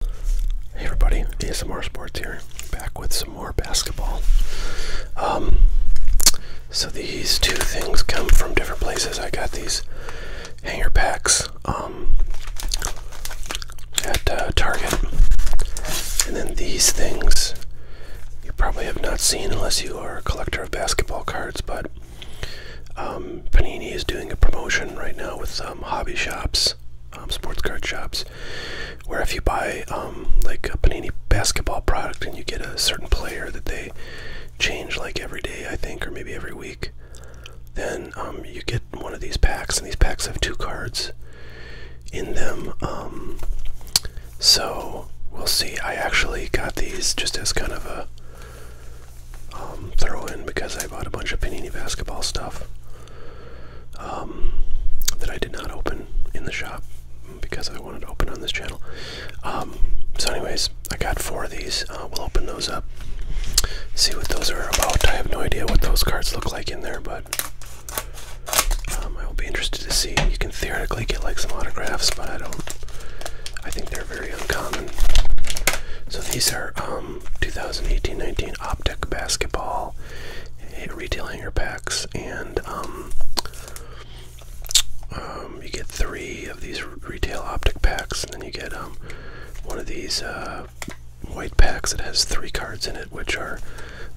Hey everybody, ASMR Sports here, back with some more basketball. Um, so these two things come from different places. I got these hanger packs um, at uh, Target, and then these things you probably have not seen unless you are a collector of basketball cards, but um, Panini is doing a promotion right now with um, hobby shops um, sports card shops, where if you buy um, like a Panini basketball product and you get a certain player that they change like every day, I think, or maybe every week, then um, you get one of these packs, and these packs have two cards in them. so we'll see. I actually got these just as kind of a um, throw in because I bought a bunch of Panini basketball stuff um, that I did not open in the shop because I wanted to open on this channel. Um, so, anyways, I got four of these. Uh, we'll open those up, see what those are about. I have no idea what those cards look like in there, but. Um, I will be interested to see. You can theoretically get like some autographs, but I don't. I think so these are 2018-19 um, Optic basketball eh, retail hanger packs, and um, um, you get three of these retail Optic packs, and then you get one of these uh, white packs that has three cards in it, which are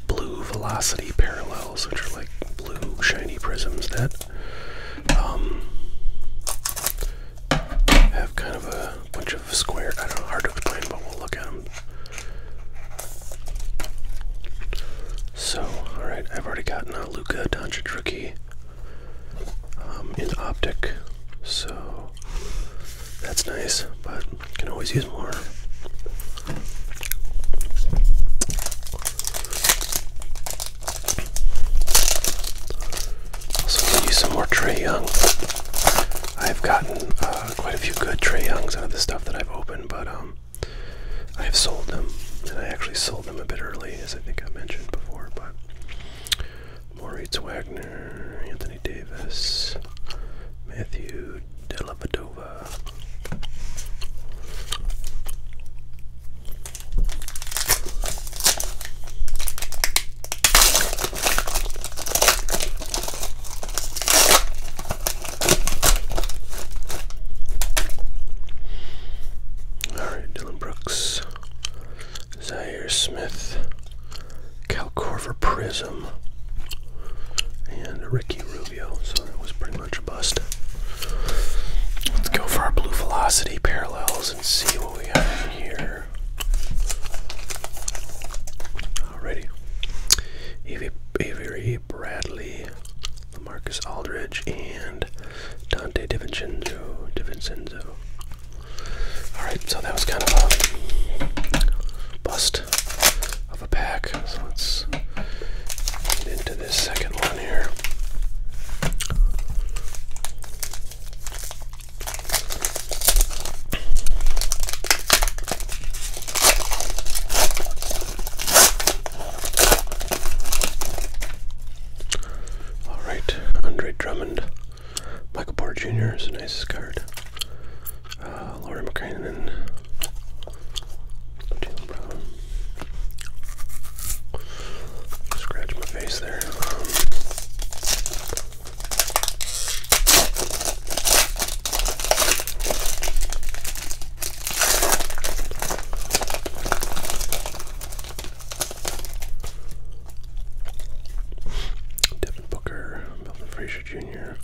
blue velocity parallels, which are like blue shiny prisms that have kind of a bunch of square. I do hard to explain, but we'll look at them. So, alright, I've already gotten a uh, Luka Doncic rookie um, in optic, so that's nice, but can always use more. Also, give you some more Trey Young. I've gotten uh, quite a few good Trey Youngs out of the stuff that I've opened, but um, I have sold them, and I actually sold them a bit early, as I think I mentioned before. But Maurice Wagner, Anthony Davis, Matthew Dellavedova. Alright, Dylan Brooks, Zaire Smith, Calcorver Prism, and Ricky so that was pretty much a bust. Let's go for our blue velocity parallels and see what we have here. Alrighty. Avery, Avery Bradley, Lamarcus Aldridge, and Dante DiVincenzo. DiVincenzo. Alright, so that was kind of a bust of a pack. So let's get into this second one down All right, Andre Drummond, Michael Porter Jr. is a nice card. Uh, Laurie McCrane Scratch my face there. Devin Booker, Melvin Fraser Jr.,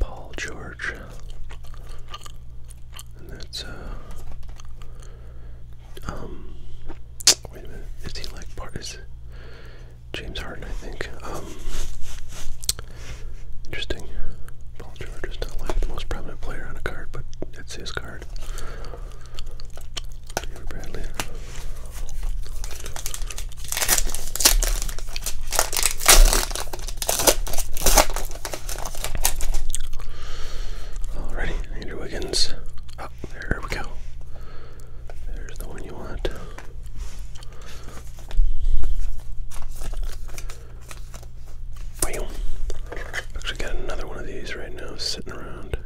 Paul George. And that's uh um wait a minute, is he like part is James Harden I think. Um interesting. Paul George is not like the most prominent player on a card, but it's his card. Peter Bradley. Alrighty, Andrew Wiggins. Oh, there we go. There's the one you want. Boom. Actually got another one of these right now sitting around.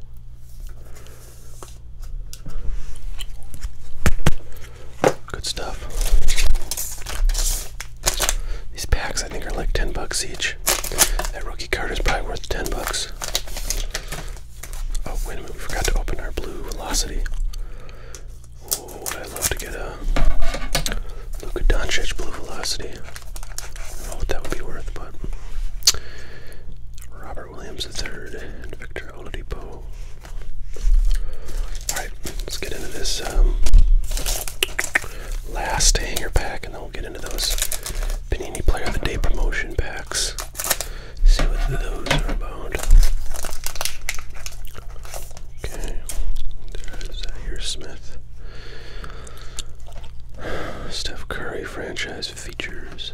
Good stuff. These packs I think are like 10 bucks each. That rookie card is probably worth 10 bucks. Oh, wait a minute, we forgot to open our blue velocity. Oh, would I love to get a Luka Doncic blue velocity. I don't know what that would be worth, but Robert Williams III and Victor Oladipo. Alright, let's get into this um, last hanger pack and then we'll get into those Panini Player of the Day promotion packs. See what those are about. Okay, there's Zaire Smith. Steph Curry franchise features.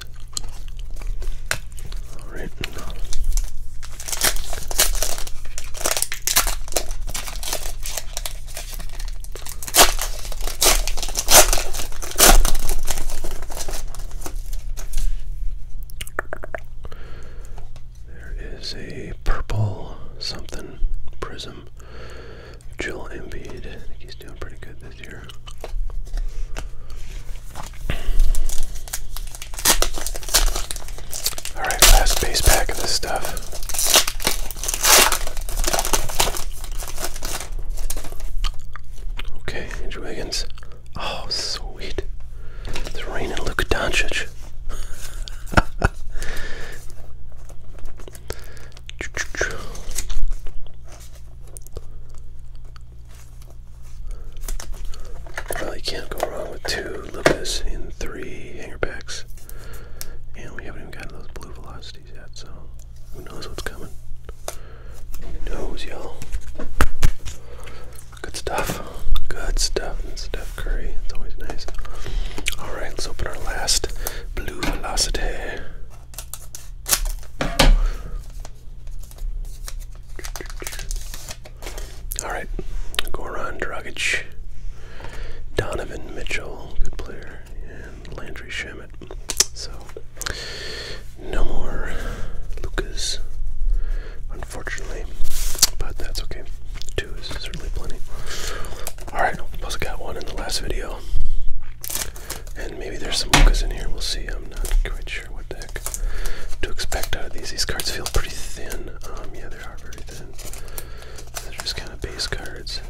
There is a purple something prism. Jill Embiid. I think he's doing pretty good Alright, last base pack of this stuff. Okay, Andrew Wiggins. Oh, sweet. It's raining Luka Doncic. Well, you can't go wrong with two Lucas in three hanger packs, And we haven't even gotten those blue velocities yet, so who knows what's coming. Who knows, y'all? Good stuff. Good stuff. And Steph Curry. It's always nice. Alright, let's open our last blue velocity. All right, Goran Dragic, Donovan Mitchell, good player, and Landry Shamet. So, no more Lucas, unfortunately, but that's okay. Two is certainly plenty. All right, plus I got one in the last video. And maybe there's some Okas in here. We'll see. I'm not quite sure what the heck to expect out of these. These cards feel pretty thin. Um, yeah, they are very thin. They're just kind of base cards.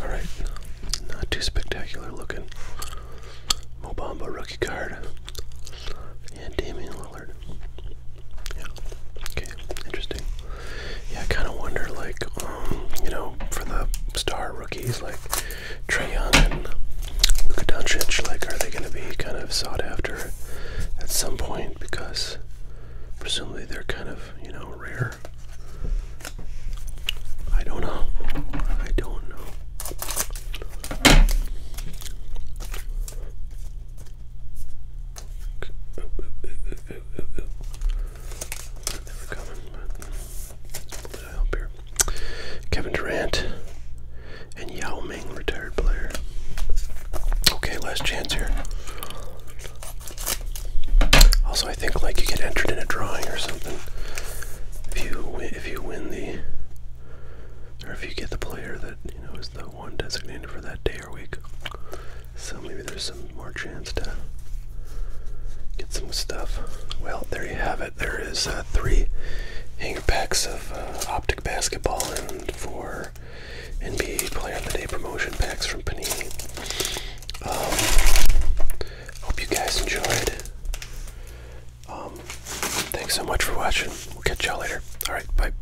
Alright. Not too spectacular looking. Mobamba rookie card. And Damian Lillard. Yeah. Okay. Interesting yeah, I kind of wonder, like, um, you know, for the star rookies like Trae Young and Luka Doncic, like, are they going to be kind of sought after at some point because presumably they're kind of, you know, rare? I don't know. I don't know. Kevin Durant and Yao Ming, retired player. Okay, last chance here. Also, I think like you get entered in a drawing or something if you if you win the or if you get the player that you know is the one designated for that day or week. So maybe there's some more chance to get some stuff. Well, there you have it. There is uh, three hanger packs of uh, Optic Basketball and four NBA Player of the Day promotion packs from Panini. Um, hope you guys enjoyed. Um, thanks so much for watching. We'll catch y'all later. Alright, bye.